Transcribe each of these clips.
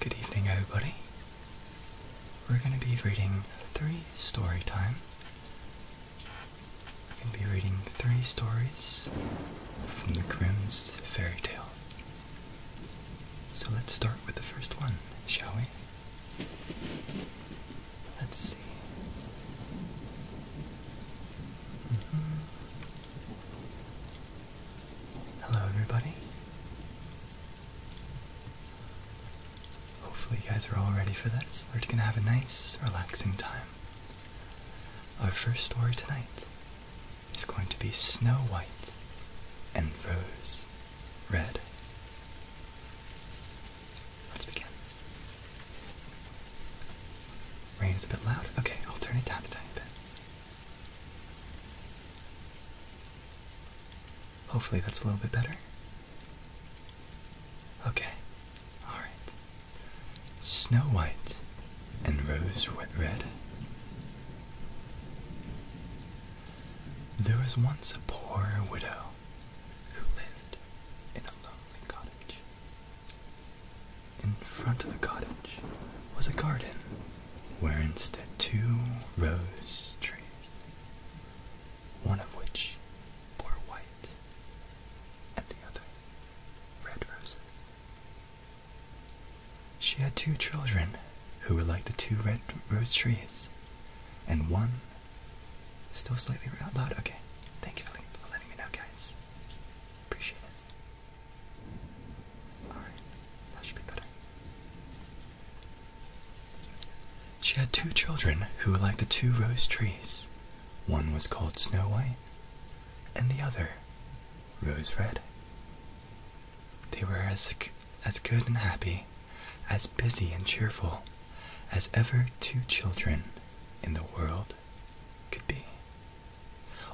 Good evening, everybody. We're going to be reading three story time. We're going to be reading three stories from the Grimm's fairy tale. So let's start with the first one, shall we? Let's see. Hello, everybody. Hopefully, you guys are all ready for this. We're gonna have a nice, relaxing time. Our first story tonight is going to be Snow White and Rose Red. Let's begin. Rain's a bit loud. Okay, I'll turn it down a tiny bit. Hopefully that's a little bit better. Okay, alright. Snow White and Rose Red. There was once a poor widow who lived in a lonely cottage. In front of the cottage was a garden wherein stood two rose trees, one of which bore white and the other red roses. She had two children who were like the two red rose trees, and one still slightly loud. Okay, thank you for letting me know, guys. Appreciate it. Alright, that should be better. She had two children who were like the two rose trees. One was called Snow White, and the other, Rose Red. They were as, as good and happy, as busy and cheerful, as ever two children in the world could be.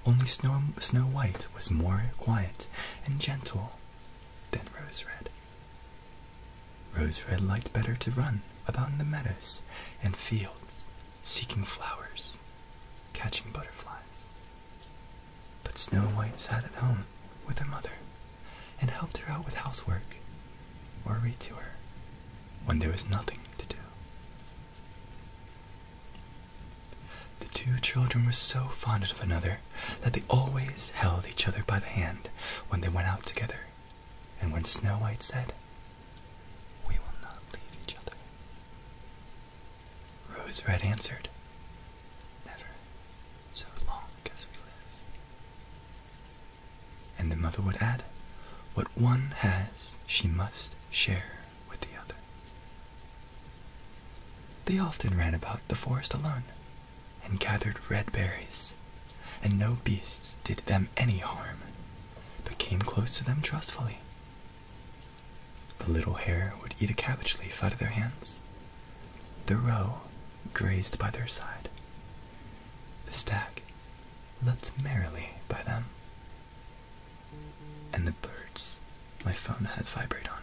Only Snow, Snow White was more quiet and gentle than Rose Red. Rose Red liked better to run about in the meadows and fields, seeking flowers, catching butterflies. But Snow White sat at home with her mother and helped her out with housework or read to her when there was nothing to do. The two children were so fond of another that they always held each other by the hand when they went out together. And when Snow White said, We will not leave each other, Rose Red answered, Never, so long as we live. And the mother would add, What one has, she must share with the other. They often ran about the forest alone, and gathered red berries, and no beasts did them any harm, but came close to them trustfully. The little hare would eat a cabbage leaf out of their hands, the roe grazed by their side, the stag leapt merrily by them, and the birds. My phone has vibrate on.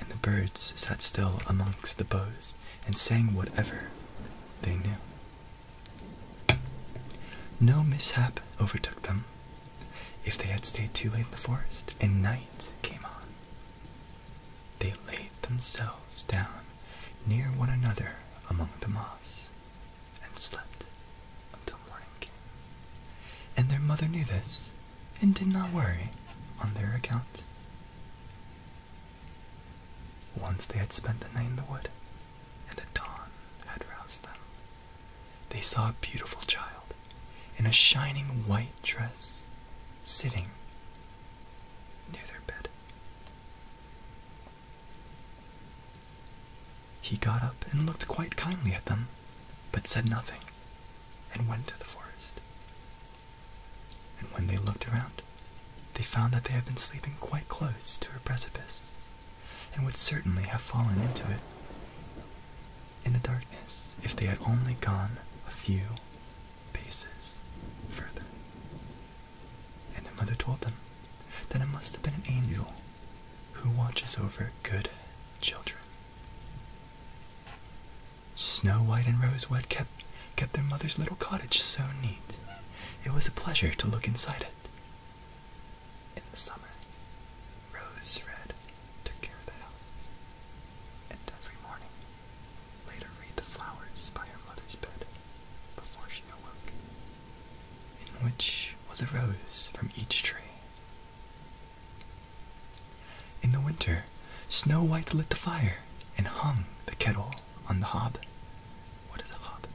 and the birds sat still amongst the boughs and sang whatever they knew. No mishap overtook them. If they had stayed too late in the forest and night came on, they laid themselves down near one another among the moss and slept until morning And their mother knew this and did not worry on their account. Once they had spent the night in the wood, and the dawn had roused them, they saw a beautiful child in a shining white dress sitting near their bed. He got up and looked quite kindly at them, but said nothing, and went to the forest. And when they looked around, they found that they had been sleeping quite close to a precipice, and would certainly have fallen into it. In the darkness, if they had only gone a few paces further. And their mother told them that it must have been an angel who watches over good children. Snow White and Rose Red kept, kept their mother's little cottage so neat. It was a pleasure to look inside it. In the summer, Rose Red took care of the house, and every morning laid her wreath flowers by her mother's bed before she awoke in which was a rose from each tree. In the winter, Snow White lit the fire and hung the kettle on the hob. What is a hob?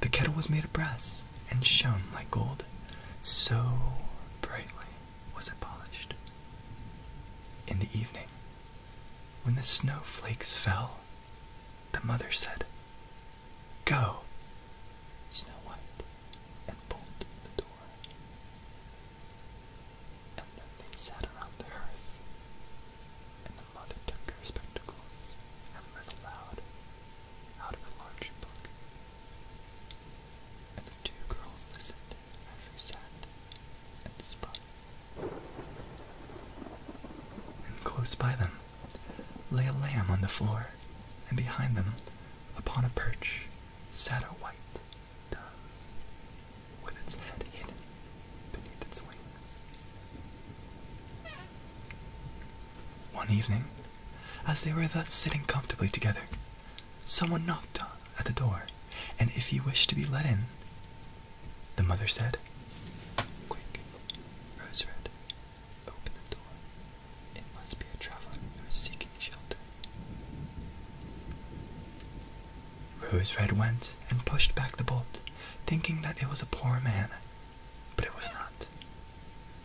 The kettle was made of brass and shone like gold. So brightly was it polished. In the evening, when the snowflakes fell, the mother said, Go! Snow White, and bolted the door. And then they sat around the hearth, and the mother took her spectacles and read aloud out of a large book. And the two girls listened as they sat and spun. And close by them lay a lamb on the floor, and behind them, upon a perch, sat a white dove, with its head hidden beneath its wings. One evening, as they were thus sitting comfortably together, someone knocked at the door, and if he wished to be let in, the mother said. Quick, Rose Red, open the door. It must be a traveler who is seeking shelter. Rose Red went and pushed back the bolt, thinking that it was a poor man, but it was not.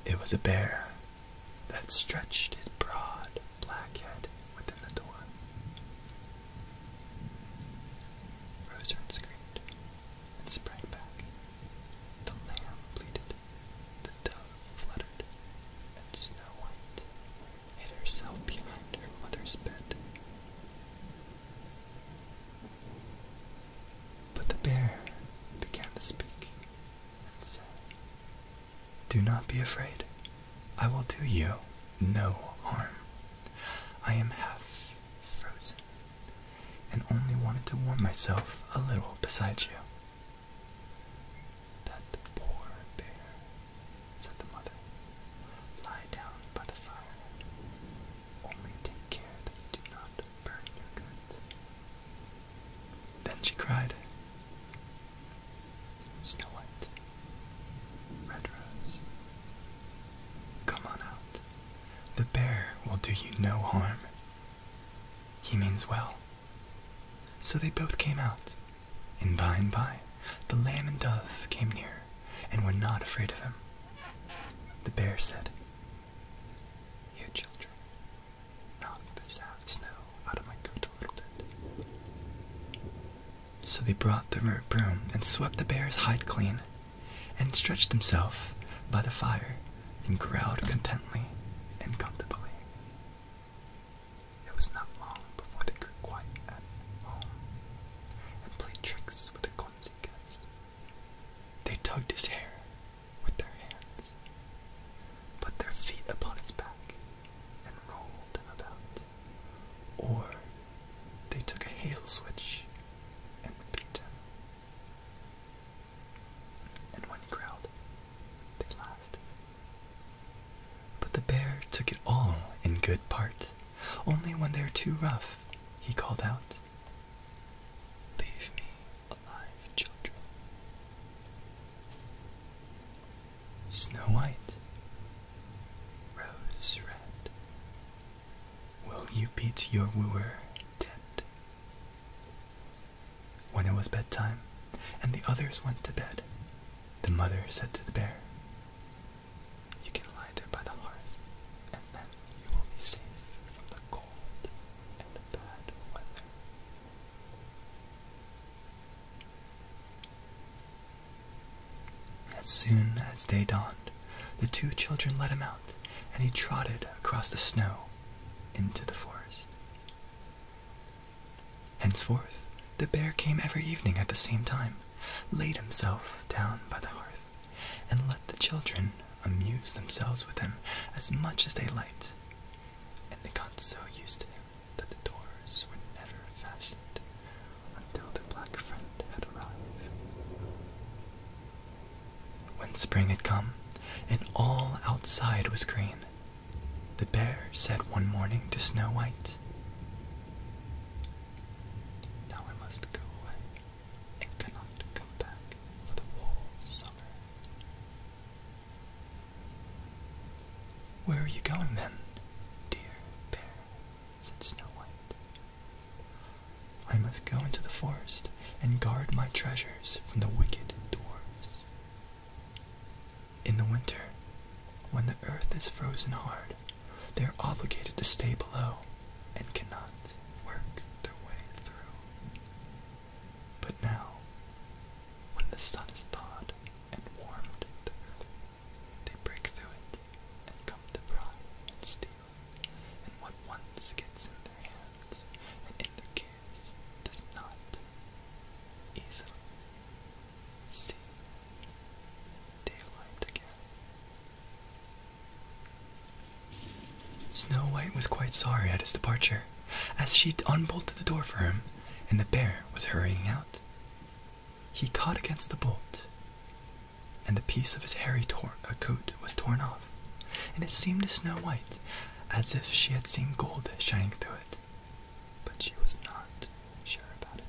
It was a bear that stretched his broad black head within the door. Rose Red screamed and sprang back. The lamb bleated, the dove fluttered, and Snow White hid herself behind her mother's bed. But the bear began to speak and said, Do not be afraid. I will do you no harm. I am half frozen and only wanted to warm myself a little beside you. That poor bear, said the mother. Lie down by the fire. Only take care that you do not burn your goods. Then she cried, Snow White, Red Rose, come on out. The bear will do you no harm. He means well. So they both came out, and by and by the lamb and dove came near and were not afraid of him. The bear said, You children, knock the soft snow out of my coat a little bit. So they brought their broom and swept the bear's hide clean and stretched himself by the fire and growled contentedly and comfortably. It was not long before they grew quite at home and played tricks with the clumsy guest. They tugged his hair with their hands, put their feet upon his back, and rolled him about. Or they took a hail switch and beat him and when he growled, they laughed. But the bear took it all in good part. Only when they were too rough, he called out, Leave me alive, children. Snow White, Rose Red, will you beat your wooer pretend. When it was bedtime, and the others went to bed, the mother said to the bear, You can lie there by the hearth, and then you will be safe from the cold and the bad weather. As soon as day dawned, the two children let him out, and he trotted across the snow into the forest. Henceforth, the bear came every evening at the same time, laid himself down by the hearth, and let the children amuse themselves with him as much as they liked. And they got so used to him that the doors were never fastened until their black friend had arrived. When spring had come, and all outside was green, the bear said one morning to Snow White, Now I must go away, and cannot come back for the whole summer. Where are you going then, dear bear? said Snow White. I must go into the forest and guard my treasures from the wicked dwarfs. In the winter, when the earth is frozen hard, they are obligated to stay below and cannot work their way through. But now, when the sun is thawed and warmed the earth, they break through it and come to pry and steal Snow White was quite sorry at his departure, as she unbolted the door for him and the bear was hurrying out. He caught against the bolt and a piece of his hairy uh, coat was torn off, and it seemed to Snow White as if she had seen gold shining through it, but she was not sure about it.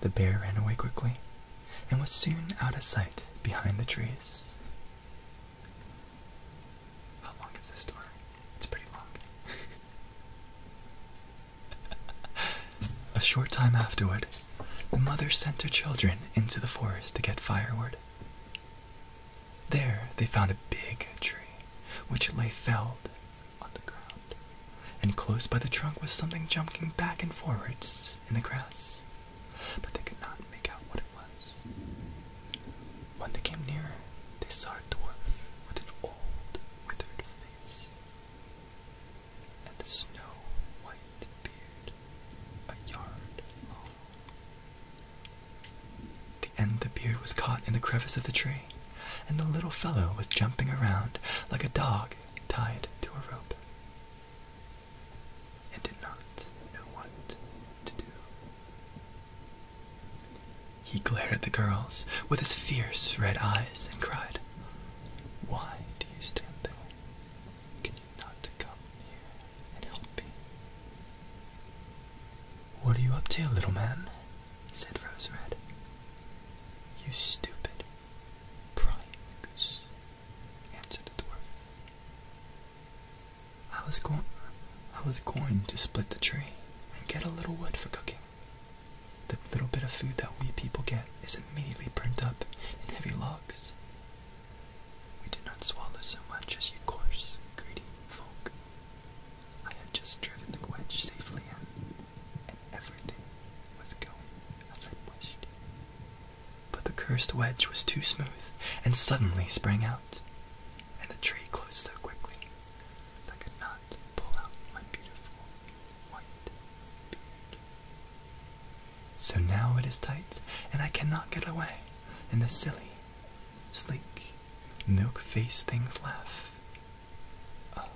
The bear ran away quickly and was soon out of sight behind the trees. How long is this story? It's pretty long. a short time afterward, the mother sent her children into the forest to get firewood. There they found a big tree, which lay felled on the ground, and close by the trunk was something jumping back and forwards in the grass, but they could not make out what it was. When they came nearer, they saw a dwarf with an old, withered face and a snow-white beard a yard long. The end of the beard was caught in the crevice of the tree, and the little fellow was jumping around like a dog tied to a rope, and did not know what to do. He glared at the girls with his fierce red eyes and cried, Why do you stand there? Can you not come here and help me? What are you up to, little man? said Rose Red. You stupid, prying goose, answered the dwarf. I was going, I was going to split the tree and get a little wood for cooking. The little bit of food that we people get is immediately burnt up in heavy logs. We did not swallow so much as you coarse, greedy folk. I had just driven the wedge safely in, and everything was going as I wished. But the cursed wedge was too smooth and suddenly sprang out, and the tree closed so quickly that I could not pull out my beautiful white beard. So now it is tight, and I cannot get away. And the silly, sleek, milk faced things laugh. Oh,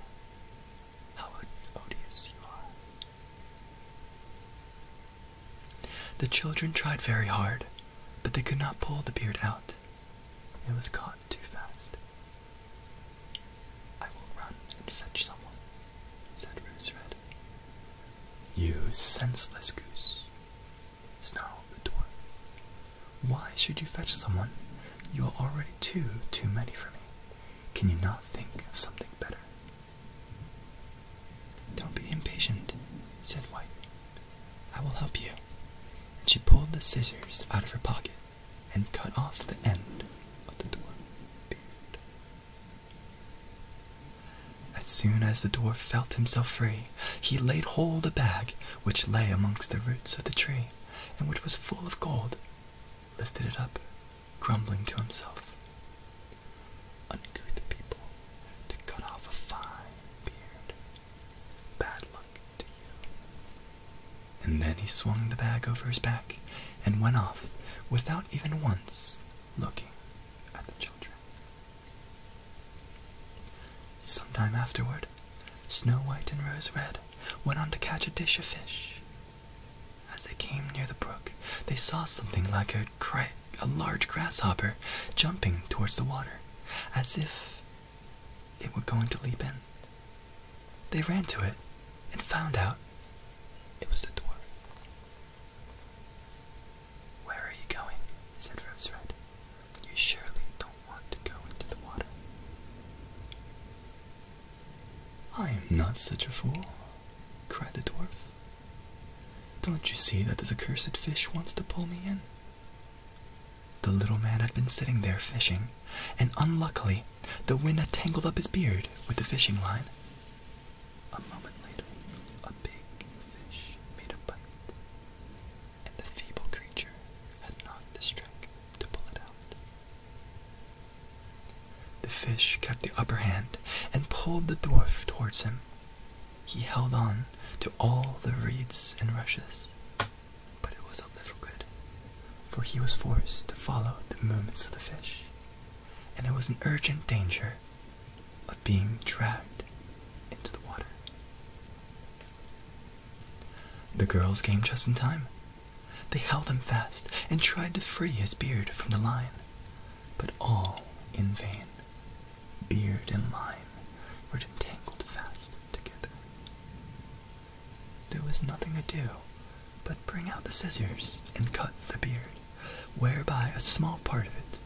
how odious you are. The children tried very hard, but they could not pull the beard out. It was caught too fast. I will run and fetch someone, said Rose Red. You senseless goose, snarled the dwarf. Why should you fetch someone? You are already two too many for me. Can you not think of something better? Don't be impatient, said White. I will help you. And she pulled the scissors out of her pocket and cut off the end of the dwarf beard. As soon as the dwarf felt himself free, he laid hold of a bag which lay amongst the roots of the tree, and which was full of gold, lifted it up, grumbling to himself. Uncouth people, to cut off a fine beard. Bad luck to you. And then he swung the bag over his back and went off without even once looking at the children. Some time afterward, Snow White and Rose Red went on to catch a dish of fish. As they came near the brook, they saw something like a, a large grasshopper jumping towards the water, as if it were going to leap in. They ran to it and found out it was the dwarf. Where are you going? said Rose You surely don't want to go into the water. I am not such a fool, cried the dwarf. Don't you see that this accursed fish wants to pull me in? The little man had been sitting there fishing, and unluckily the wind had tangled up his beard with the fishing line, a moment later, a big fish made a bite, and the feeble creature had not the strength to pull it out. The fish kept the upper hand and pulled the dwarf towards him. He held on to all the reeds and rushes, but it was of little good, for he was forced to follow the movements of the fish and I was in urgent danger of being dragged into the water. The girls came just in time. They held him fast and tried to free his beard from the line, but all in vain. Beard and line were entangled fast together. There was nothing to do but bring out the scissors and cut the beard whereby a small part of it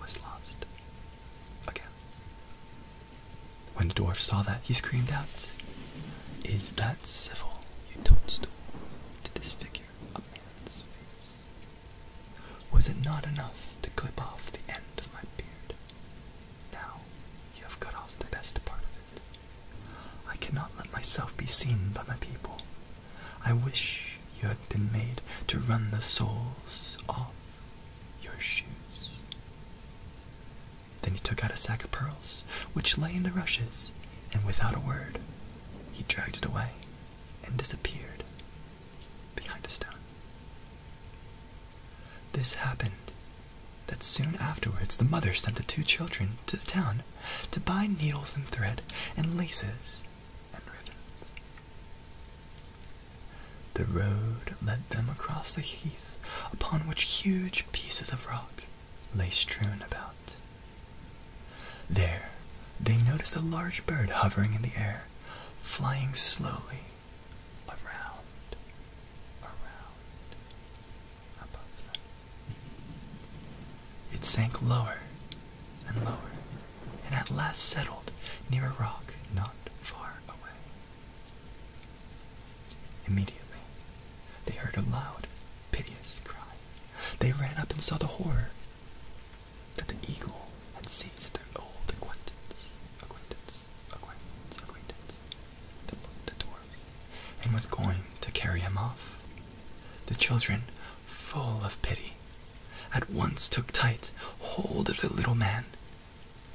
was lost. Again. When the dwarf saw that, he screamed out, Is that civil, you toadstool, to disfigure a man's face? Was it not enough to clip off the end of my beard? Now you have cut off the best part of it. I cannot let myself be seen by my people, I wish you had been made to run the soles off your shoes. Then he took out a sack of pearls, which lay in the rushes, and without a word, he dragged it away and disappeared behind a stone. This happened that soon afterwards the mother sent the two children to the town to buy needles and thread and laces the road led them across the heath, upon which huge pieces of rock lay strewn about. There they noticed a large bird hovering in the air, flying slowly around, around, above It sank lower and lower, and at last settled near a rock not far away. Immediately, they heard a loud, piteous cry. They ran up and saw the horror that the eagle had seized their old acquaintance, acquaintance, acquaintance, acquaintance, the, the dwarf, and was going to carry him off. The children full of pity, at once took tight hold of the little man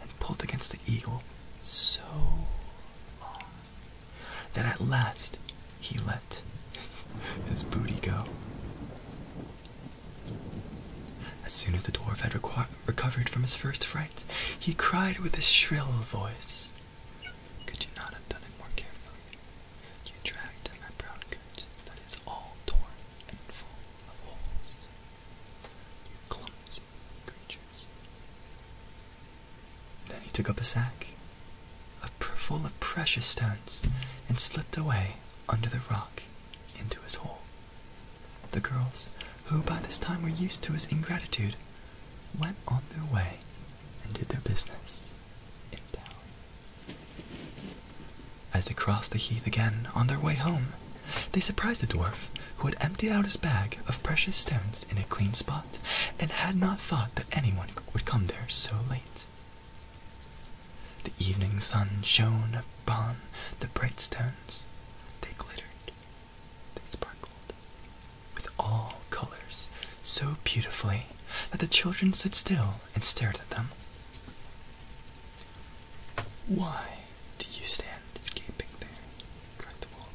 and pulled against the eagle so long that at last he let his, booty go. As soon as the dwarf had recovered from his first fright, he cried with a shrill voice, Could you not have done it more carefully? You dragged my proud that is all torn and full of holes. You clumsy creatures. Then he took up a sack full of precious stones and slipped away under the rock into his hole. The girls, who by this time were used to his ingratitude, went on their way and did their business in town. As they crossed the heath again on their way home, they surprised the dwarf, who had emptied out his bag of precious stones in a clean spot, and had not thought that anyone would come there so late. The evening sun shone upon the bright stones. They glittered, they sparkled, with all colors so beautifully that the children stood still and stared at them. Why do you stand gaping there? cried the wolf,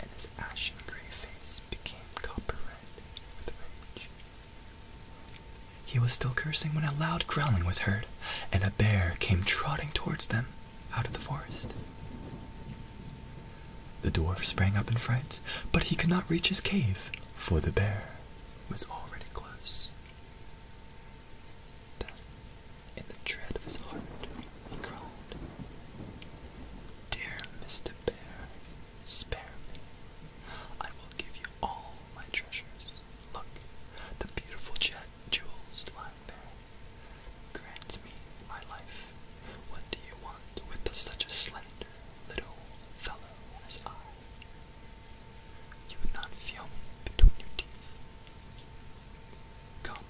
and his ashen grey face became copper red with rage. He was still cursing when a loud growling was heard, and a bear came trotting towards them out of the forest. The dwarf sprang up in fright, but he could not reach his cave, for the bear was already close. Then, in the dread of his heart, he cried, Dear Mr. Bear, spare me. I will give you all my treasures. Look, the beautiful jet jewels lying there. Grant me my life. What do you want with such a slender little fellow as I, you would not feel me between your teeth. Come,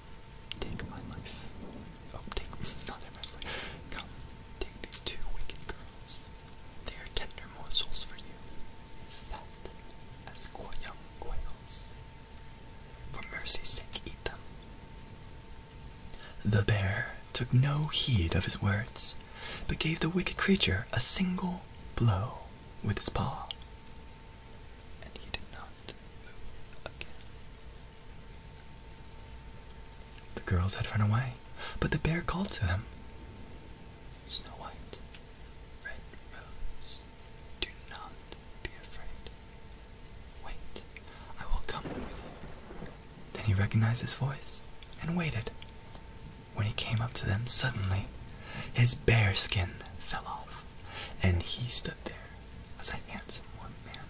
take my life. Oh, take not my life. Come, take these two wicked girls. They are tender morsels for you, fat as young quails. For mercy's sake, eat them. The bear took no heed of his words, but gave the wicked creature a single blow with his paw, and he did not move again. The girls had run away, but the bear called to them. Snow White, Red Rose, do not be afraid. Wait, I will come with you then he recognized his voice and waited. When he came up to them, suddenly his bear skin fell off, and he stood there as a handsome one man,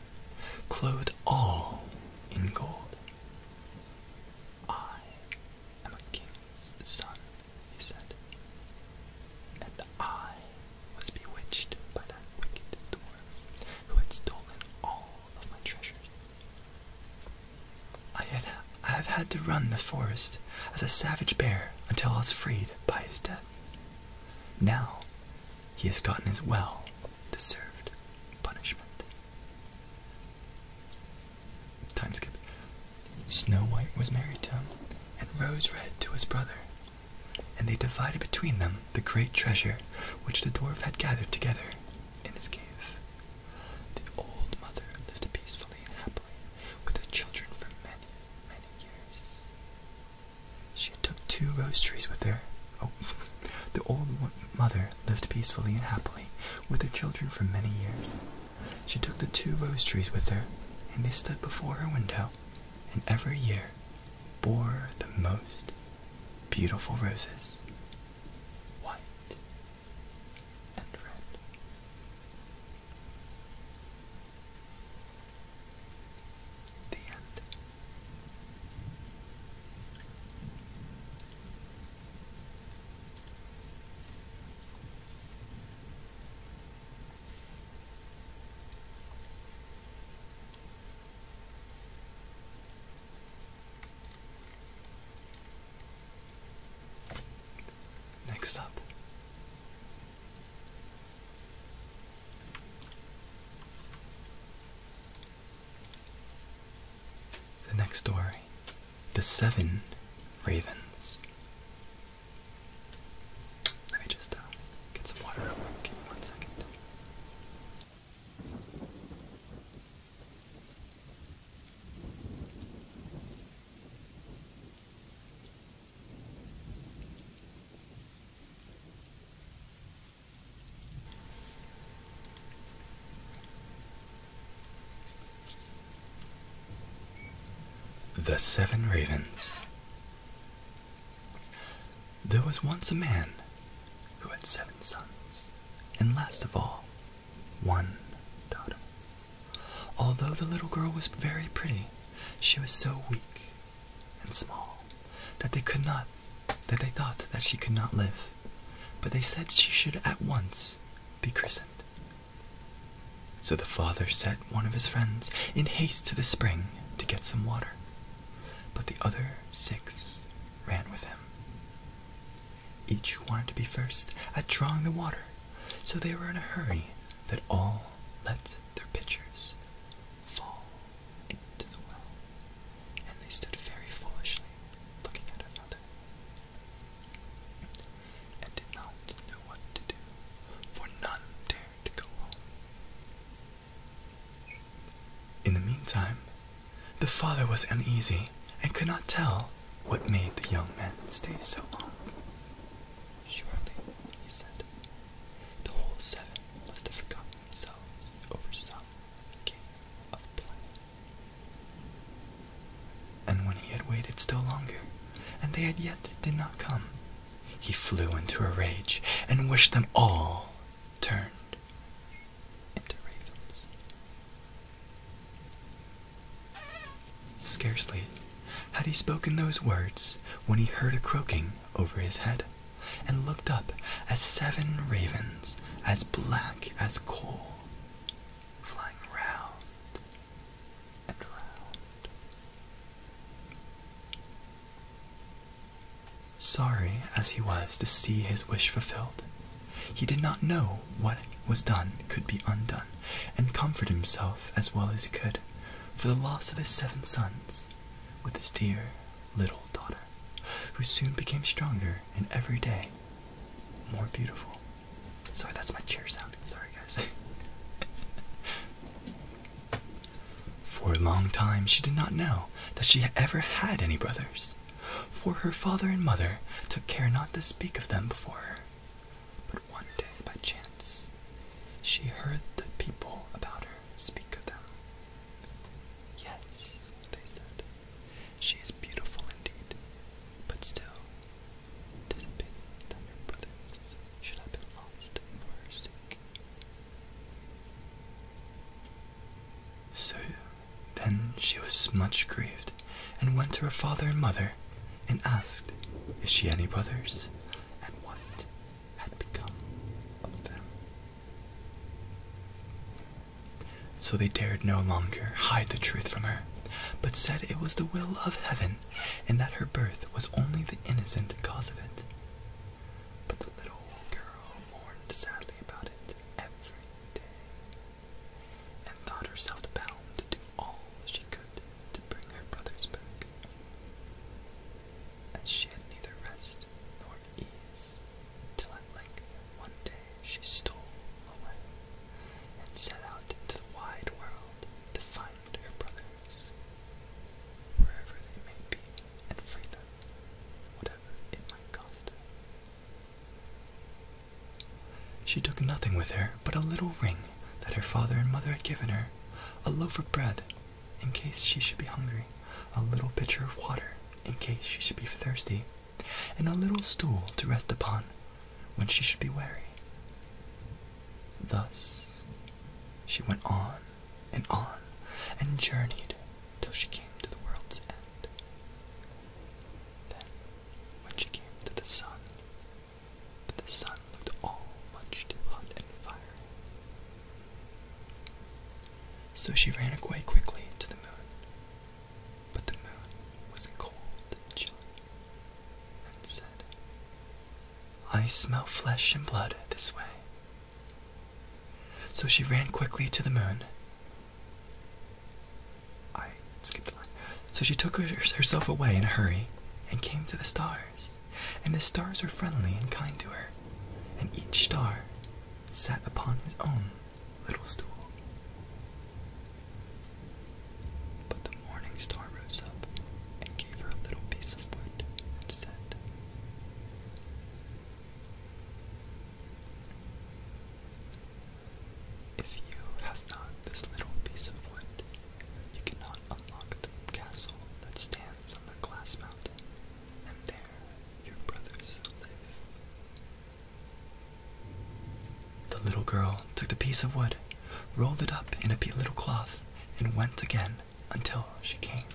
clothed all in gold. I am a king's son, he said, and I was bewitched by that wicked dwarf who had stolen all of my treasures. I had I have had to run the forest as a savage bear until I was freed by his death. Now he has gotten his well deserved punishment. Time Snow White was married to him, and Rose Red to his brother, and they divided between them the great treasure which the dwarf had gathered together in his cave. The old mother lived peacefully and happily with her children for many, many years. She took two rose trees with her. Oh. The old mother lived peacefully and happily with her children for many years. She took the two rose trees with her, and they stood before her window, and every year bore the most beautiful roses white, and red. The end. Next up. The next story The Seven Ravens. Let me just uh, get some water one second. The Seven Ravens. There was once a man who had seven sons, and last of all, one daughter. Although the little girl was very pretty, she was so weak and small that they could not that they thought that she could not live, but they said she should at once be christened. So the father sent one of his friends in haste to the spring to get some water, but the other six ran with him. Each wanted to be first at drawing the water, so they were in a hurry that all let their pitchers fall into the well, and they stood very foolishly looking at another, and did not know what to do, for none dared to go home. In the meantime, the father was uneasy and could not tell what made the young men stay so long. Surely, he said, the whole seven must have forgotten themselves over some game of play. And when he had waited still longer, and they had yet did not come, he flew into a rage and wished them all turned into ravens. Scarcely had he spoken those words when he heard a croaking over his head, and looked up as seven ravens, as black as coal, flying round and round. Sorry as he was to see his wish fulfilled, he did not know what was done could be undone, and comforted himself as well as he could for the loss of his seven sons with his dear little daughter, who soon became stronger and every day more beautiful. Sorry, that's my chair sound. Sorry, guys. For a long time, she did not know that she ever had any brothers for her father and mother took care not to speak of them before her. But one day, by chance, she heard the people about her speak of them. Yes, they said, she is beautiful indeed, but still, tis a pity that her brothers should have been lost for her so then she was much grieved, and went to her father and mother, and asked "Is she any brothers, and what had become of them. So they dared no longer hide the truth from her, but said it was the will of heaven, and that her birth was only the innocent cause of it. But the little girl mourned sadly about it every day and thought herself bound to do all she could to bring her brothers back. and she had neither rest nor ease, till at length one day she stole away and set out into the wide world to find her brothers, wherever they may be, and free them, whatever it might cost she took nothing with her but a little ring that her father and mother had given her, a loaf of bread in case she should be hungry, a little pitcher of water in case she should be thirsty, and a little stool to rest upon when she should be weary. Thus she went on and on and journeyed till she came to the world's end. Then, when she came to the sun, but the sun looked all much too hot and fiery. So she ran away quickly to the moon, but the moon was cold and chilly, and said, I smell flesh and blood this way. So she ran quickly to the moon, I skipped a line. So she took herself away in a hurry and came to the stars. And the stars were friendly and kind to her. And each star sat upon his own little stool. But the morning star rose up and gave her a little piece of wood and said, if you have not this little piece of wood, you cannot unlock the castle that stands on the glass mountain, and there your brothers live. The little girl took the piece of wood, rolled it up in a little cloth, and went again until she came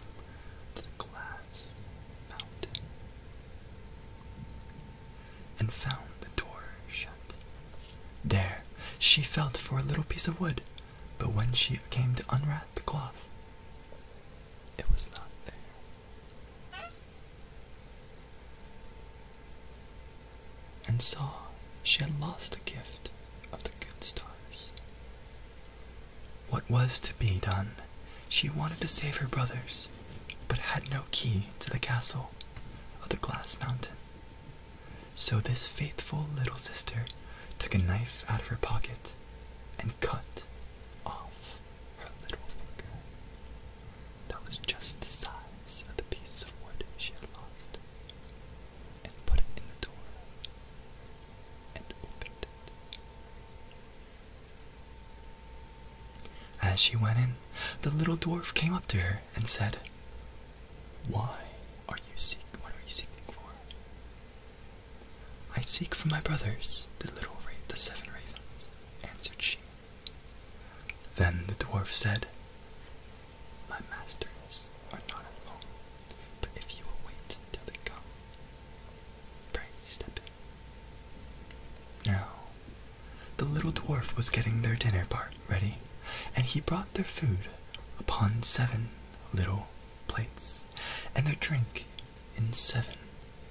to the glass mountain and found the door shut. There she felt for a little piece of wood, but when she came to unwrap the cloth, it was not there. And saw she had lost the gift of the good stars. What was to be done she wanted to save her brothers, but had no key to the castle of the Glass Mountain. So this faithful little sister took a knife out of her pocket and cut off her little finger that was just the size of the piece of wood she had lost and put it in the door and opened it. As she went in, the little dwarf came up to her and said, Why are you seeking? What are you seeking for? I seek for my brothers, the little ra the seven ravens, answered she. Then the dwarf said, My masters are not at home, but if you will wait till they come, pray step now, the little dwarf was getting their dinner part ready, and he brought their food upon seven little plates, and their drink in seven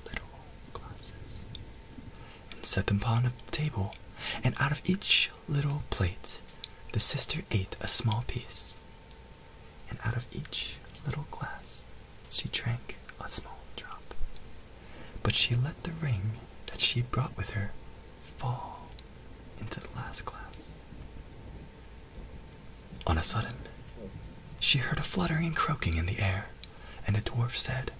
little glasses, and set them upon a table, and out of each little plate the sister ate a small piece, and out of each little glass she drank a small drop, but she let the ring that she brought with her fall into the last glass. On a sudden, she heard a fluttering and croaking in the air, and the dwarf said,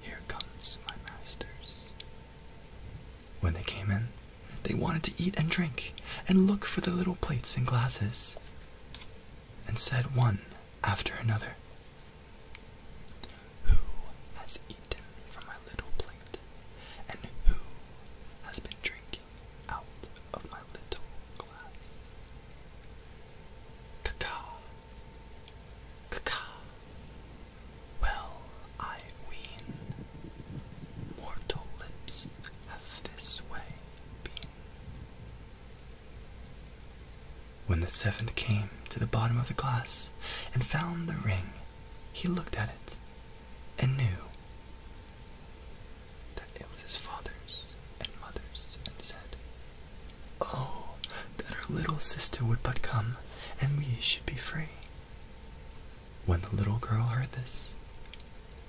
Here comes my masters. When they came in, they wanted to eat and drink, and look for the little plates and glasses, and said one after another, who has eaten from my little plate? And who has been drinking out of my little glass? Caca, caca. Well, I ween, mortal lips have this way been. When the seventh came to the bottom of the glass and found the ring, he looked at it and knew that it was his father's and mother's, and said, Oh, that our little sister would but come, and we should be free. When the little girl heard this,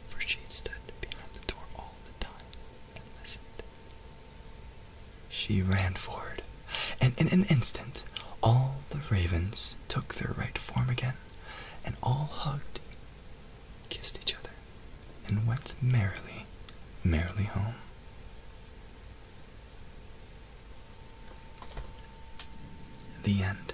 for she had stood behind the door all the time and listened, she ran forward, and in an instant all the ravens took their right form again, and all hugged, kissed each other, and went merrily, merrily home. The end.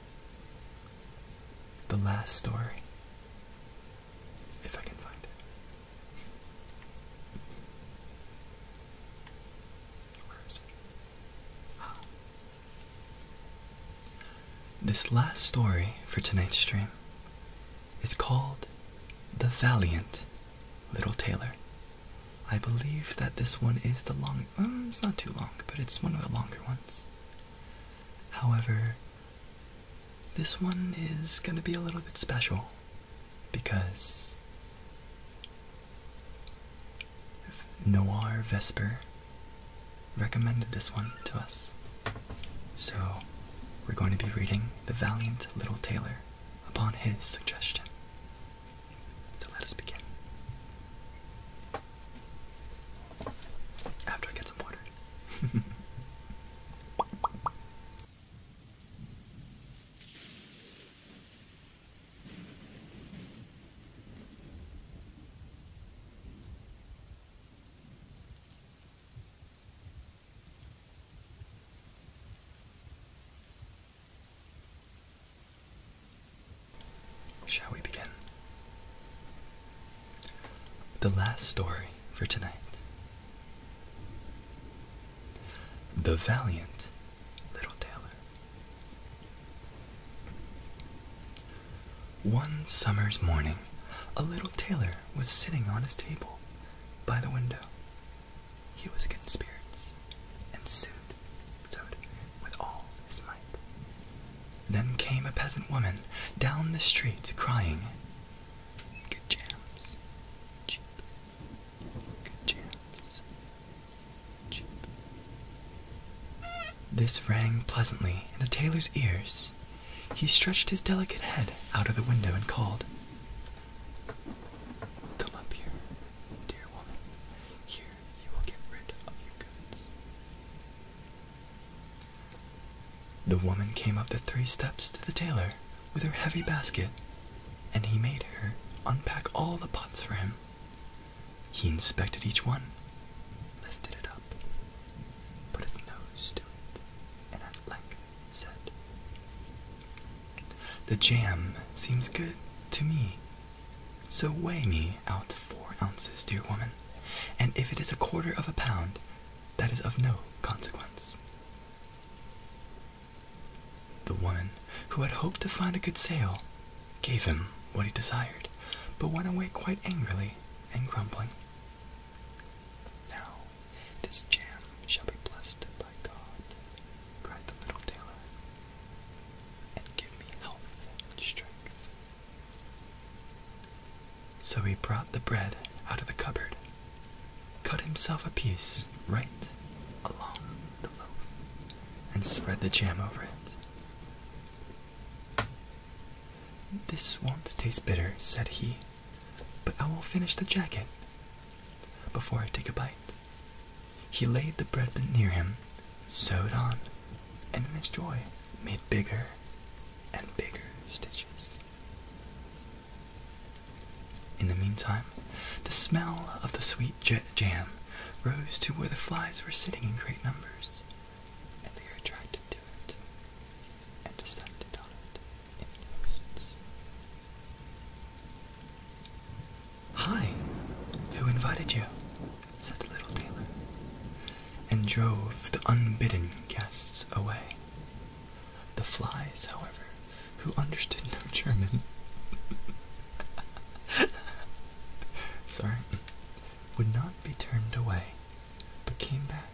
the last story, if I can find it. Where is it? Ah. This last story for tonight's stream is called The Valiant Little Tailor. I believe that this one is the long. Um, it's not too long, but it's one of the longer ones. However, this one is gonna be a little bit special because Noir Vesper recommended this one to us. So, we're going to be reading The Valiant Little Tailor upon his suggestion. So let us begin. After I get some water. Shall we begin? The last story for tonight The Valiant Little Tailor. One summer's morning, a little tailor was sitting on his table by the window. He was in spirits and soon toad with all his might. Then came a peasant woman down the street crying, Good jams, cheap. Good jams, cheap. This rang pleasantly in the tailor's ears. He stretched his delicate head out of the window and called, Come up here, dear woman. Here the woman came up the three steps to the tailor with her heavy basket, and he made her unpack all the pots for him. He inspected each one, lifted it up, put his nose to it, and at length said, The jam seems good to me, so weigh me out four ounces, dear woman, and if it is a quarter of a pound, that is of no consequence. The woman, who had hoped to find a good sale, gave him what he desired, but went away quite angrily and grumbling. Now, this jam shall be blessed by God, cried the little tailor, and give me health and strength. So he brought the bread out of the cupboard, cut himself a piece right along the loaf, and spread the jam over it. This won't taste bitter, said he, but I will finish the jacket before I take a bite. He laid the breadbent near him, sewed on, and in his joy made bigger and bigger stitches. In the meantime, the smell of the sweet jam rose to where the flies were sitting in great numbers, and they were attracted to it and descended on it in thousands. Hi, who invited you? said the little tailor, and drove the unbidden guests away. The flies, however, who understood no German, sorry, would not be turned away, but came back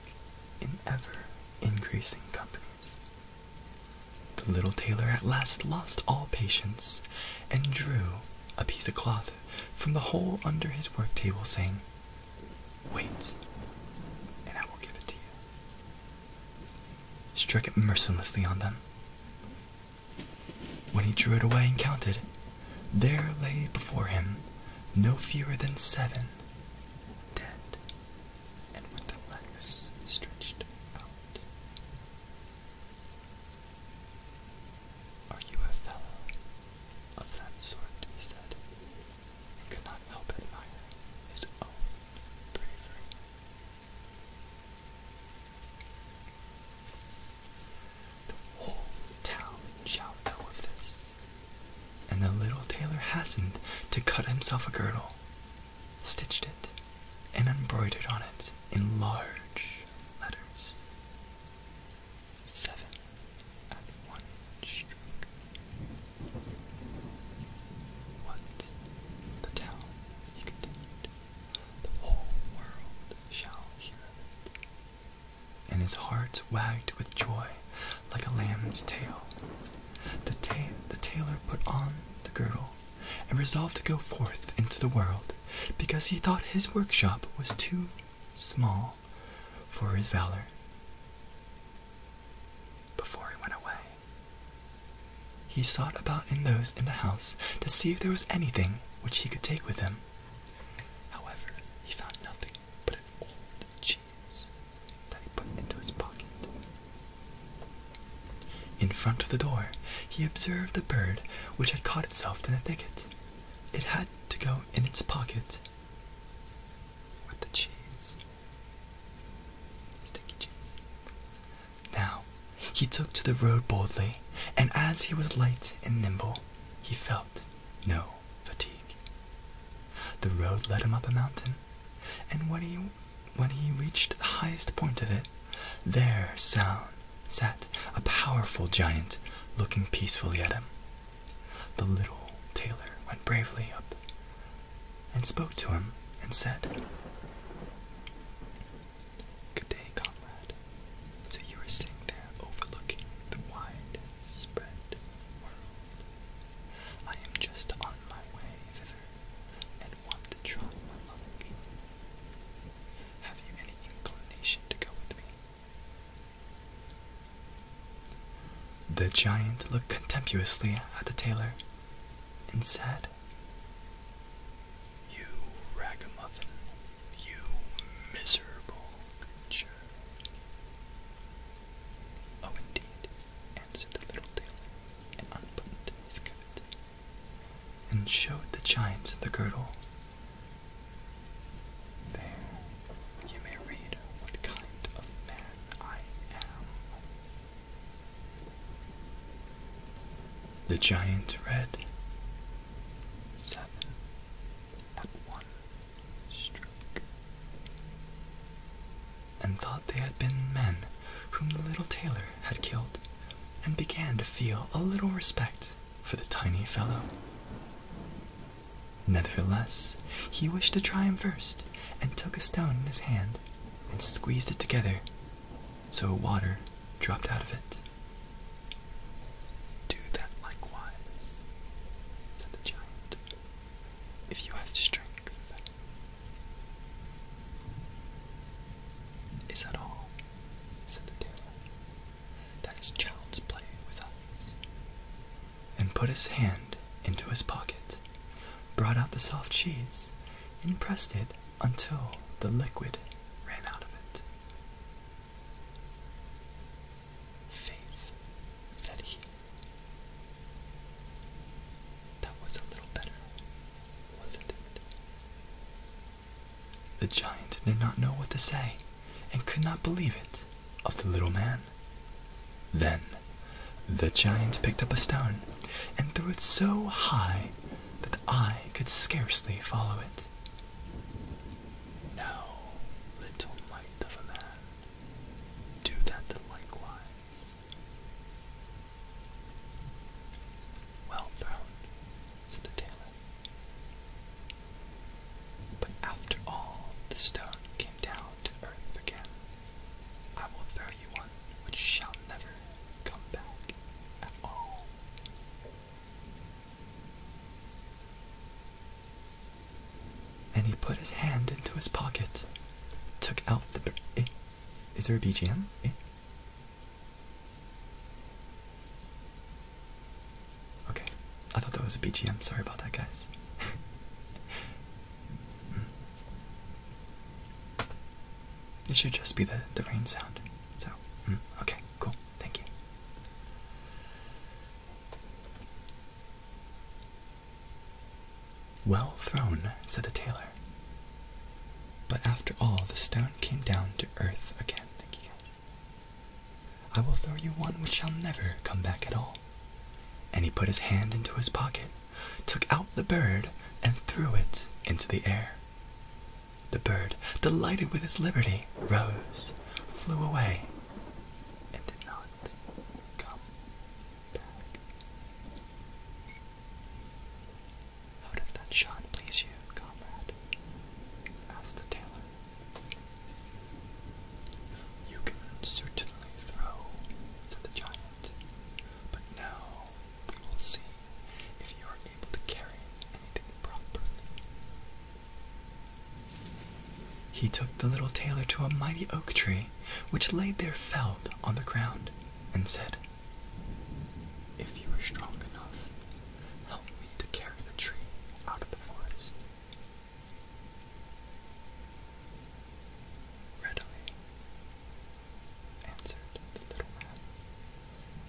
in ever increasing companies. The little tailor at last lost all patience and drew a piece of cloth from the hole under his work table, saying, Wait, and I will give it to you. Struck it mercilessly on them. When he drew it away and counted, there lay before him no fewer than seven dead and with their legs stretched out. Are you a fellow of that sort? he said, and could not help admiring his own bravery. The whole town shall know of this, and the little tailor hastened to cut himself a girdle, stitched it, and embroidered on it in large letters seven at one stroke. What? The town, he continued, the whole world shall hear And his heart wagged with joy like a lamb's tail. the tailor put on the girdle and resolved to go forth into the world because he thought his workshop was too small for his valor before he went away. He sought about in those in the house to see if there was anything which he could take with him. However, he found nothing but an old cheese that he put into his pocket. In front of the door, he observed a bird which had caught itself in a thicket it had to go in its pocket with the cheese. Sticky cheese. Now, he took to the road boldly, and as he was light and nimble, he felt no fatigue. The road led him up a mountain, and when he when he reached the highest point of it, there sound sat a powerful giant looking peacefully at him. The little tailor went bravely up and spoke to him and said, Good day, comrade. So you are sitting there overlooking the wide spread world. I am just on my way thither and want to try my luck. Have you any inclination to go with me? The giant looked contemptuously at the tailor and said, You ragamuffin, you miserable creature. Oh, indeed, answered the little tailor and unbuttoned his coat and showed the giant the girdle there you may read what kind of man I am. The giants read seven at one stroke, and thought they had been men whom the little tailor had killed, and began to feel a little respect for the tiny fellow. Nevertheless, he wished to try him first, and took a stone in his hand and squeezed it together, so water dropped out of it. Do that likewise, said the giant, if you have strength. Is that all? said the tailor. That is child's play with us. And put his hand into his pocket, brought out the soft cheese, and pressed it until the liquid ran out of it. Faith, said he. That was a little better, wasn't it? The giant did not know what to say, and could not believe it of the little man. Then the giant picked up a stone, and threw it so high that the eye could scarcely follow it. Now, little mite of a man, do that likewise. Well thrown, said the tailor. But after all, the stone came down to earth again. I will throw you one which shall never come back at all. And he put his hand into his pocket, took out the. Eh, is there a BGM? Eh? Okay, I thought that was a BGM. Sorry about that, guys. mm. It should just be the, the rain sound. So, hmm. okay, cool. Thank you. Well thrown, said a tailor. But after all, the stone came down to earth again. Thank you guys. I will throw you one which shall never come back at all. And he put his hand into his pocket, took out the bird, and threw it into the air. The bird, delighted with its liberty, rose, flew away, and did not come back. How does that shot please you, comrade? asked the tailor. You can certainly throw, said the giant, but now we will see if you are able to carry anything properly. He took the little tailor to a mighty oak tree which lay there felled on the ground, and said, If you are strong enough, Help me to carry the tree out of the forest. Readily, answered the little man.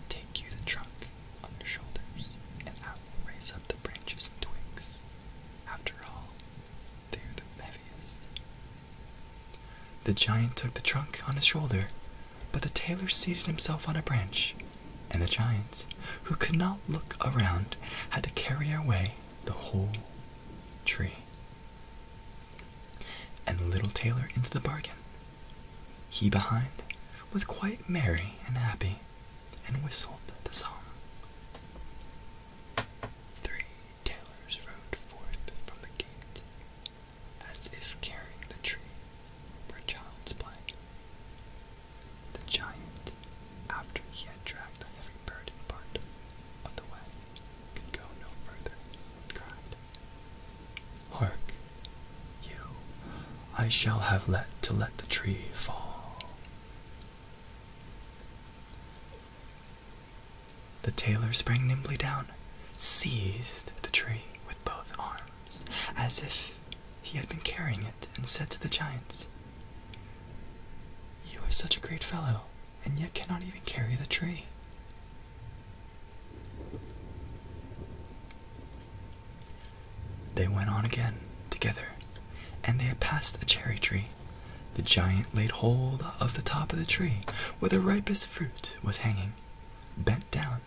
Take you the trunk on your shoulders, and I will raise up the branches and twigs. After all, they are the heaviest. The giant took the trunk on his shoulder but the tailor seated himself on a branch, and the giants, who could not look around, had to carry away the whole tree. And the little tailor into the bargain. He behind was quite merry and happy, and whistled the song. Three tailors rode forth from the gate, as if carrying the tree for child's play the giant, after he had dragged a heavy burden part of the way, could go no further, and cried, Hark, you, I shall have let to let the tree fall. The tailor sprang nimbly down, seized the tree with both arms, as if he had been carrying it, and said to the giants, You are such a great fellow, and yet cannot even carry the tree. They went on again together, and they had passed a cherry tree. The giant laid hold of the top of the tree where the ripest fruit was hanging, bent down,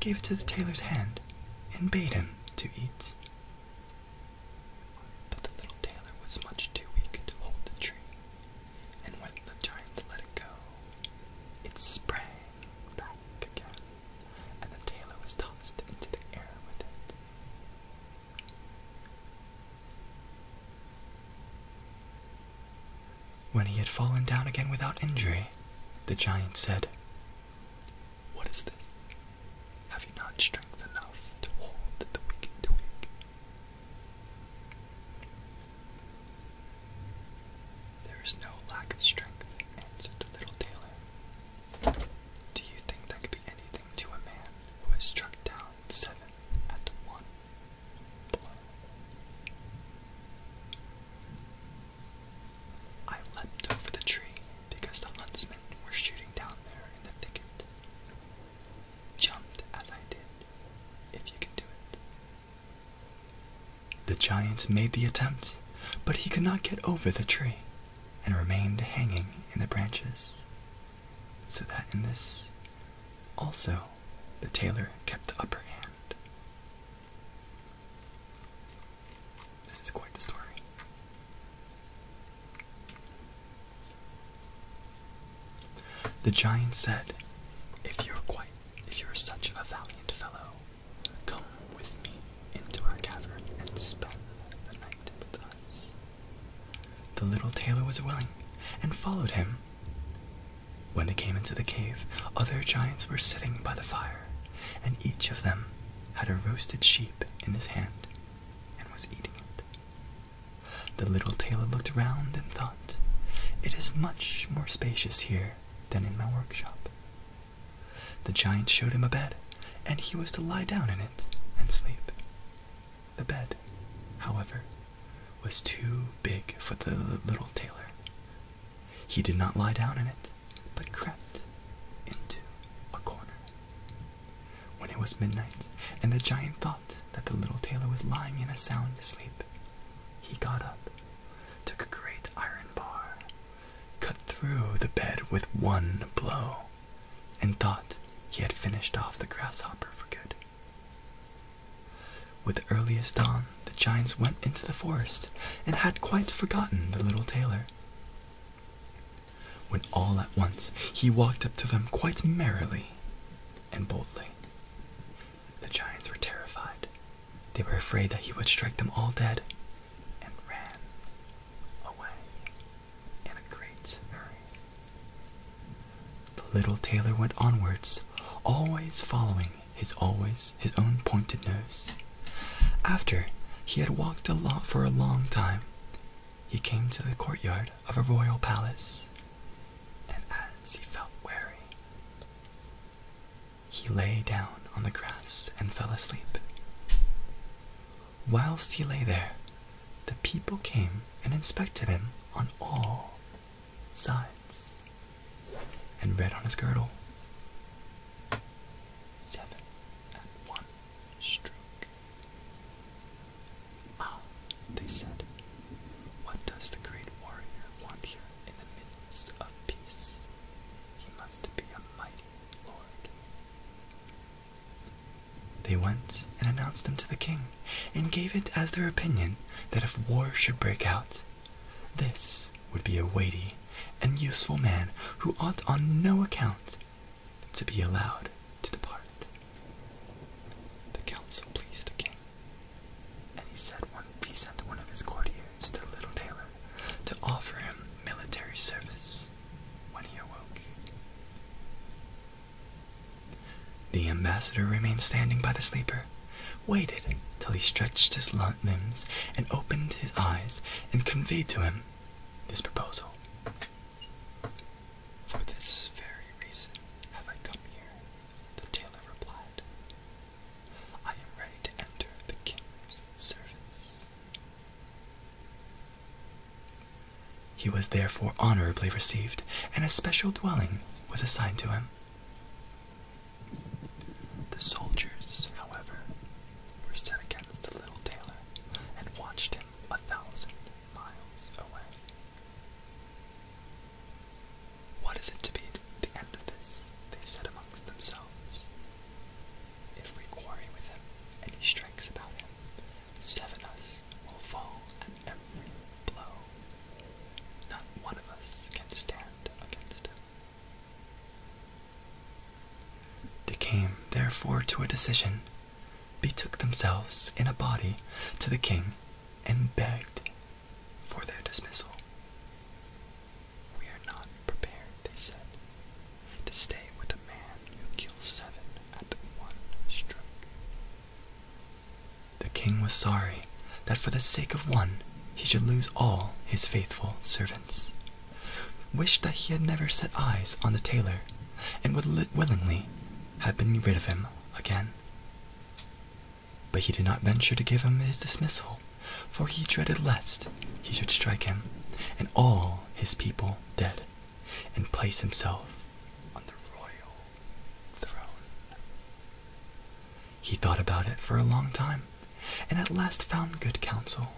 gave it to the tailor's hand, and bade him to eat. But the little tailor was much too weak to hold the tree, and when the giant let it go, it sprang back again, and the tailor was tossed into the air with it. When he had fallen down again without injury, the giant said, what is this? Have you not strength enough to hold the wicked twig? There is no lack of strength, answered the little tailor. Do you think that could be anything to a man who has struck down seven at one blow? I leapt over the tree because the huntsmen were shooting down there in the thicket. Jumped as I did, if you can do it. The giant made the attempt, but he could not get over the tree and remained hanging in the branches. So that in this also the tailor kept the upper hand. This is quite the story. The giant said, If you're quite if you're such a valiant fellow, come with me into our cavern and spend the night with us. The little tailor was willing and followed him. When they came into the cave, other giants were sitting by the fire, and each of them had a roasted sheep in his hand and was eating it. The little tailor looked round and thought, It is much more spacious here than in my workshop. The giant showed him a bed, and he was to lie down in it and sleep. The bed, however, was too big for the little tailor, he did not lie down in it, but crept into a corner. When it was midnight, and the giant thought that the little tailor was lying in a sound sleep, he got up, took a great iron bar, cut through the bed with one blow, and thought he had finished off the grasshopper for good. With earliest dawn, the giants went into the forest and had quite forgotten the little tailor. When all at once he walked up to them quite merrily and boldly. The giants were terrified. They were afraid that he would strike them all dead and ran away in a great hurry. The little tailor went onwards, always following his always his own pointed nose. After he had walked a lot for a long time, he came to the courtyard of a royal palace, and as he felt weary, he lay down on the grass and fell asleep. Whilst he lay there, the people came and inspected him on all sides, and read on his girdle, seven and one stroke. Mao, they said, what does the great warrior want here in the midst of peace? He must be a mighty lord. They went and announced them to the king, and gave it as their opinion that if war should break out, this would be a weighty and useful man who ought on no account to be allowed to depart. The council pleased the king, and he said one, he sent one of his courtiers to the little tailor to offer him military service when he awoke. The ambassador remained standing by the sleeper, waited till he stretched his lungs limbs and opened his eyes and conveyed to him this proposal. For this very reason have I come here, the tailor replied. I am ready to enter the king's service. He was therefore honorably received, and a special dwelling was assigned to him. The soldiers, however, were set against the little tailor and watched him a thousand miles away. What is it to be the end of this? They said amongst themselves. If we quarry with him and he strikes about him, seven us will fall at every blow. Not one of us can stand against him. They came therefore to a decision, betook themselves in a body to the king, and begged for their dismissal. We are not prepared, they said, to stay with a man who kills seven at one stroke. The king was sorry that for the sake of one he should lose all his faithful servants, wished that he had never set eyes on the tailor, and would willingly have been rid of him again. But he did not venture to give him his dismissal, for he dreaded lest he should strike him and all his people dead, and place himself on the royal throne. He thought about it for a long time, and at last found good counsel.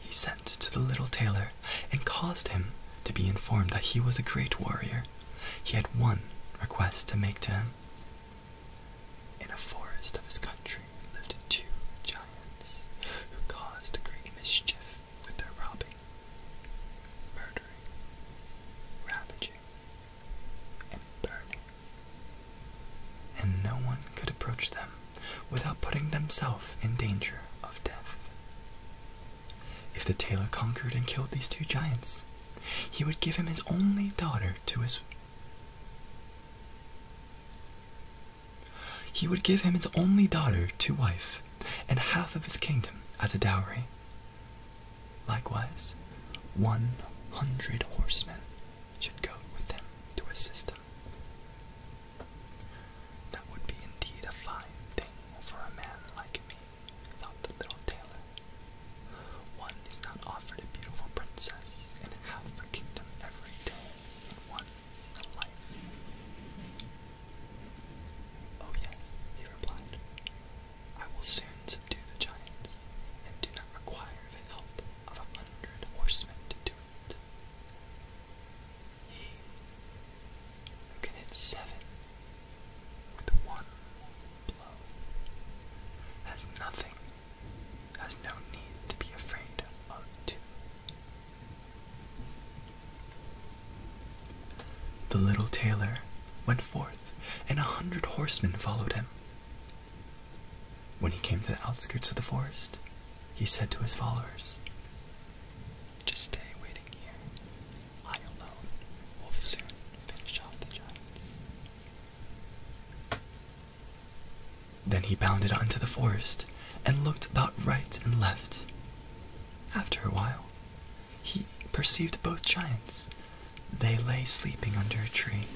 He sent to the little tailor and caused him to be informed that he was a great warrior. He had one request to make to him. In a forest of his country lived two giants who caused great mischief with their robbing, murdering, ravaging, and burning and no one could approach them without putting themselves in danger of death. If the tailor conquered and killed these two giants, he would give him his only daughter to his he would give him his only daughter to wife and half of his kingdom as a dowry. Likewise, one hundred horsemen should go with him to assist him. That would be indeed a fine thing for a man like me, thought the little tailor. One is not offered a beautiful princess and half a kingdom every day in one's life. Oh yes, he replied. I will soon subdue the giants and do not require their help of a hundred horsemen to do it. He who can hit seven with one blow has nothing, has no need to be afraid of two. The little tailor went forth, and a hundred horsemen followed him. When he came to the outskirts of the forest, he said to his followers, Just stay waiting here. I alone will soon finish off the giants. Then he bounded on into the forest and looked about right and left. After a while, he perceived both giants. They lay sleeping under a tree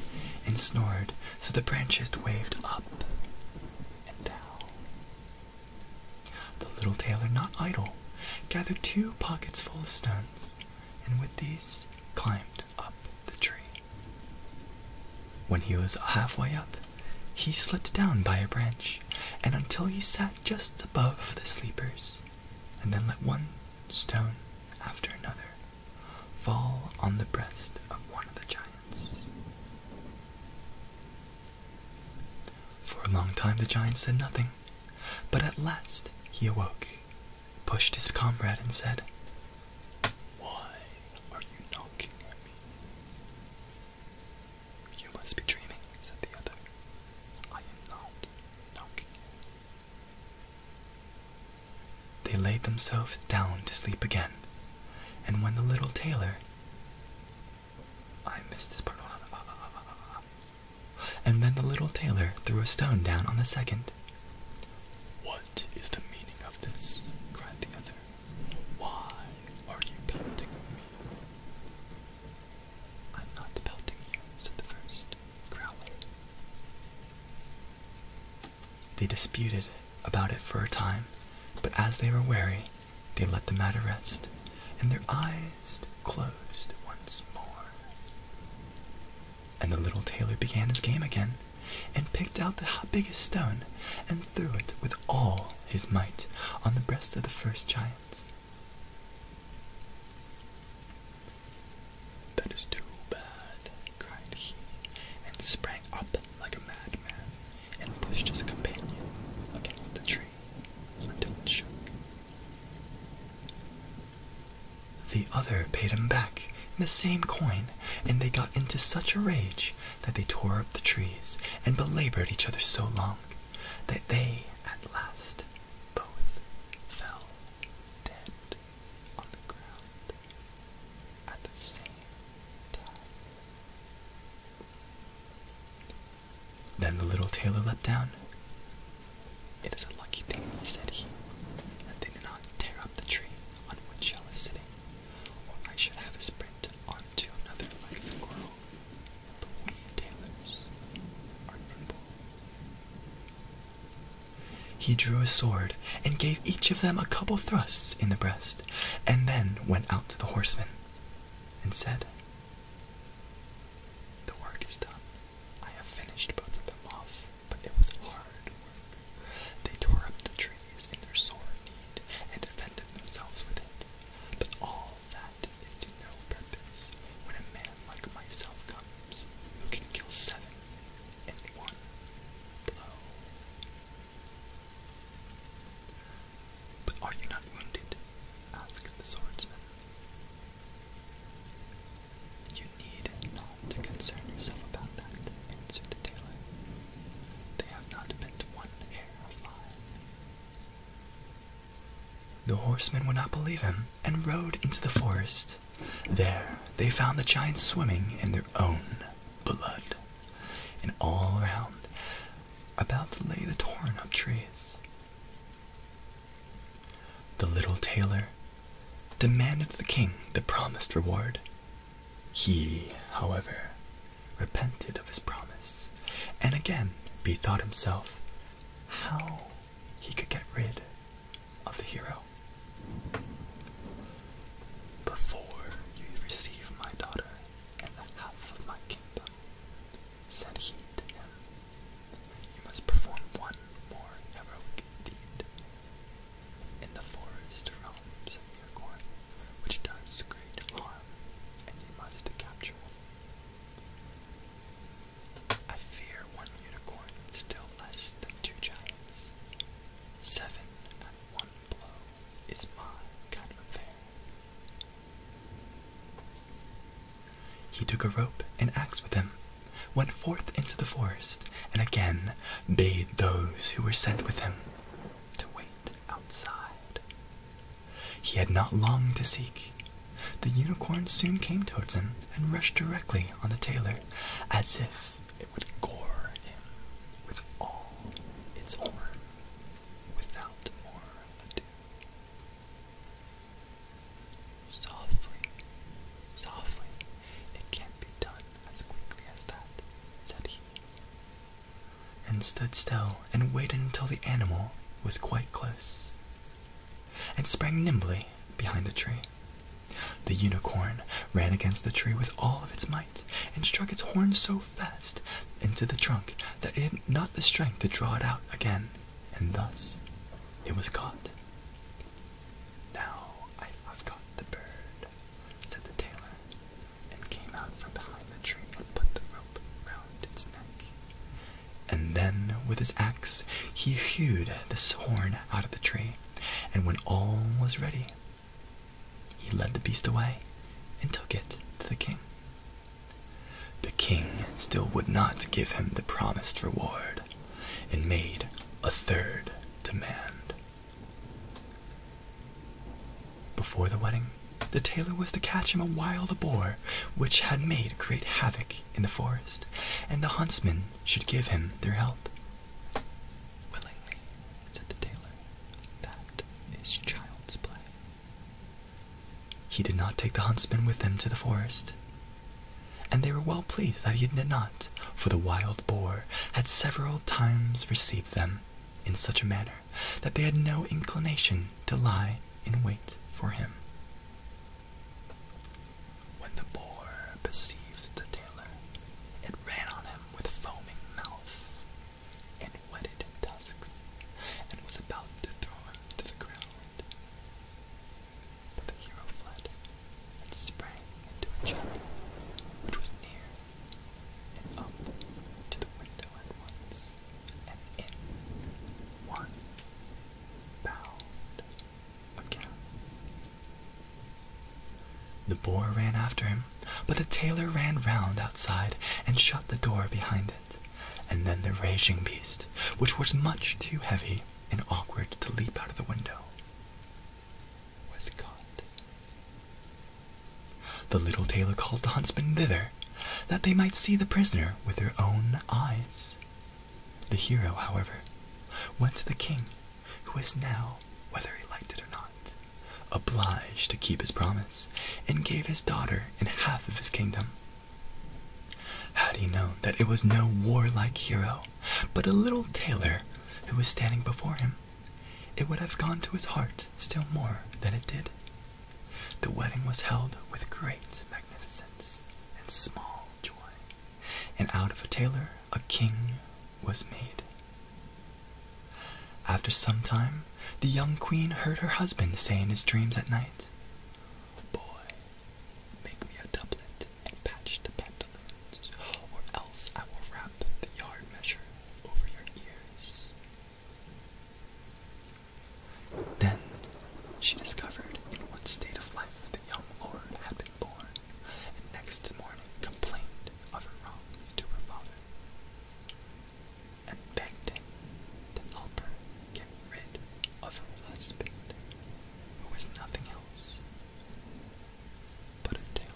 and snored so the branches waved up and down. The little tailor, not idle, gathered two pockets full of stones, and with these climbed up the tree. When he was halfway up, he slipped down by a branch, and until he sat just above the sleepers, and then let one stone after another fall on the breast of one of the giants. For a long time the giant said nothing, but at last he awoke, pushed his comrade, and said, Why are you knocking at me? You must be dreaming, said the other. I am not knocking. They laid themselves down to sleep again, and when the little tailor I missed this part. And then the little tailor threw a stone down on the second. What is the meaning of this? cried the other. Why are you pelting me? I'm not pelting you, said the first, growling. They disputed about it for a time, but as they were weary, they let the matter rest, and their eyes closed once more. And the little tailor began his game again, and picked out the biggest stone, and threw it with all his might on the breast of the first giant. That is too bad, cried he, and sprang up like a madman, and pushed his companion against the tree until it shook. The other paid him back in the same coin, and they got into such a rage that they tore up the trees and belabored each other so long that they at last both fell dead on the ground at the same then the little tailor leapt down. It is a lucky thing, he said he, that they did not tear up the tree on which I was sitting, or I should have a sprint onto another like squirrel. But we tailors are nimble. He drew his sword and gave each of them a couple thrusts in the breast, and then went out to the horsemen and said, The work is done. I have finished both of them off, but it was hard work. They tore up the trees in their sore need and defended themselves with it. But all that is to no purpose when a man like myself comes, who can kill seven in one blow. But are you not wounded? asked the swordsman. You need not concern yourself about that, answered the They have not bent one hair of mine. The horsemen would not believe him and rode into the forest. There they found the giants swimming in their own blood, and all round, about lay the torn up trees. The little tailor demanded the king the promised reward. He, however, repented of his promise, and again bethought himself how he could get rid of the hero. Before you receive my daughter and the half of my kingdom, said he to him, you must perform one more heroic deed in the forest realms of Mircorn, which does great harm, and you must capture I fear one unicorn still less than two giants. Seven one blow is my kind of affair. He took a rope and axe with him, went forth into the forest, and again bade those who were sent with him to wait outside. He had not long to seek. The unicorn soon came towards him and rushed directly on the tailor, as if it would gore him with all its horn without more ado. Softly, softly, it can't be done as quickly as that, said he, and stood still and waited until the animal was quite close, and sprang nimbly behind a tree. The unicorn ran against the tree with all of its might, and struck its horn so fast into the trunk that it had not the strength to draw it out again, and thus it was caught. Now I have caught the bird, said the tailor, and came out from behind the tree and put the rope round its neck. And then with his axe he hewed this horn out of the tree, and when all was ready, he led the beast away and took it to the king. The king still would not give him the promised reward and made a third demand. Before the wedding, the tailor was to catch him a wild boar which had made great havoc in the forest, and the huntsmen should give him their help Willingly, said the tailor, that is child's play. He did not take the huntsman with him to the forest, and they were well pleased that he did not, for the wild boar had several times received them in such a manner that they had no inclination to lie in wait for him. When the boar perceived the tailor, it ran on him with foaming mouth and wetted tusks, and was about to throw him to the ground. But the hero fled and sprang into a chapel which was near, and up to the window at once, and in one bound again. The boar ran after him, but the tailor ran round outside and shut the door behind it, and then the raging beast, which was much too heavy and awkward to leap out of the window, was caught. The little tailor called the huntsmen thither, that they might see the prisoner with their own eyes. The hero, however, went to the king who was now, whether he liked it or not, obliged to keep his promise, and gave his daughter and half of his kingdom. Had he known that it was no warlike hero, but a little tailor who was standing before him, it would have gone to his heart still more than it did. The wedding was held with great magnificence and small joy, and out of a tailor a king was made. After some time, the young queen heard her husband say in his dreams at night, Boy, make me a doublet and patch the pantaloons, or else I will wrap the yard measure over your ears. Then she discovered in what state of life the young lord had been born, and next morning complained of her wrongs to her father, and begged him to help her get rid of her husband, who was nothing else but a tailor.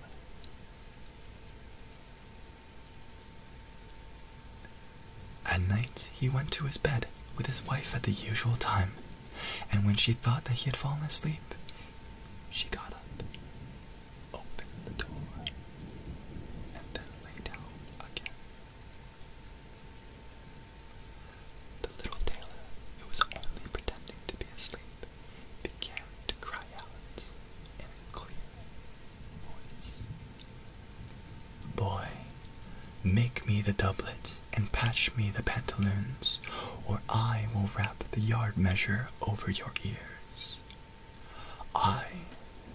At night he went to his bed with his wife at the usual time, and when she thought that he had fallen asleep, she got up open the door, and then lay down again. The little tailor, who was only pretending to be asleep, began to cry out in a clear voice. Boy, make me the doublet and patch me the pantaloons, or I will wrap the yard measure over your ear. I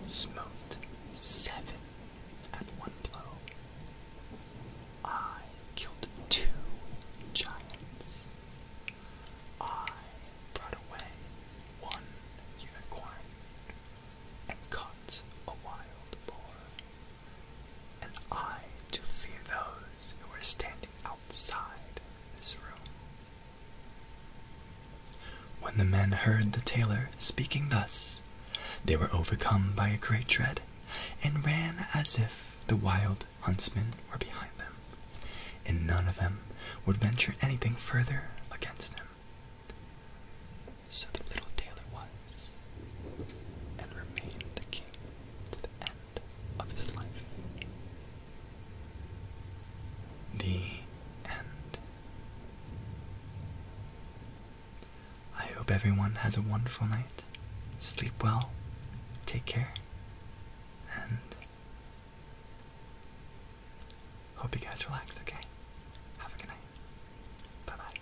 smoked seven at one blow. I killed two giants. I brought away one unicorn and caught a wild boar. And I to fear those who are standing outside this room. When the men heard the tailor speaking thus, they were overcome by a great dread, and ran as if the wild huntsmen were behind them, and none of them would venture anything further against him. So the little tailor was, and remained the king to the end of his life. The end. I hope everyone has a wonderful night. Sleep well, take care, and hope you guys relax, okay? Have a good night. Bye bye.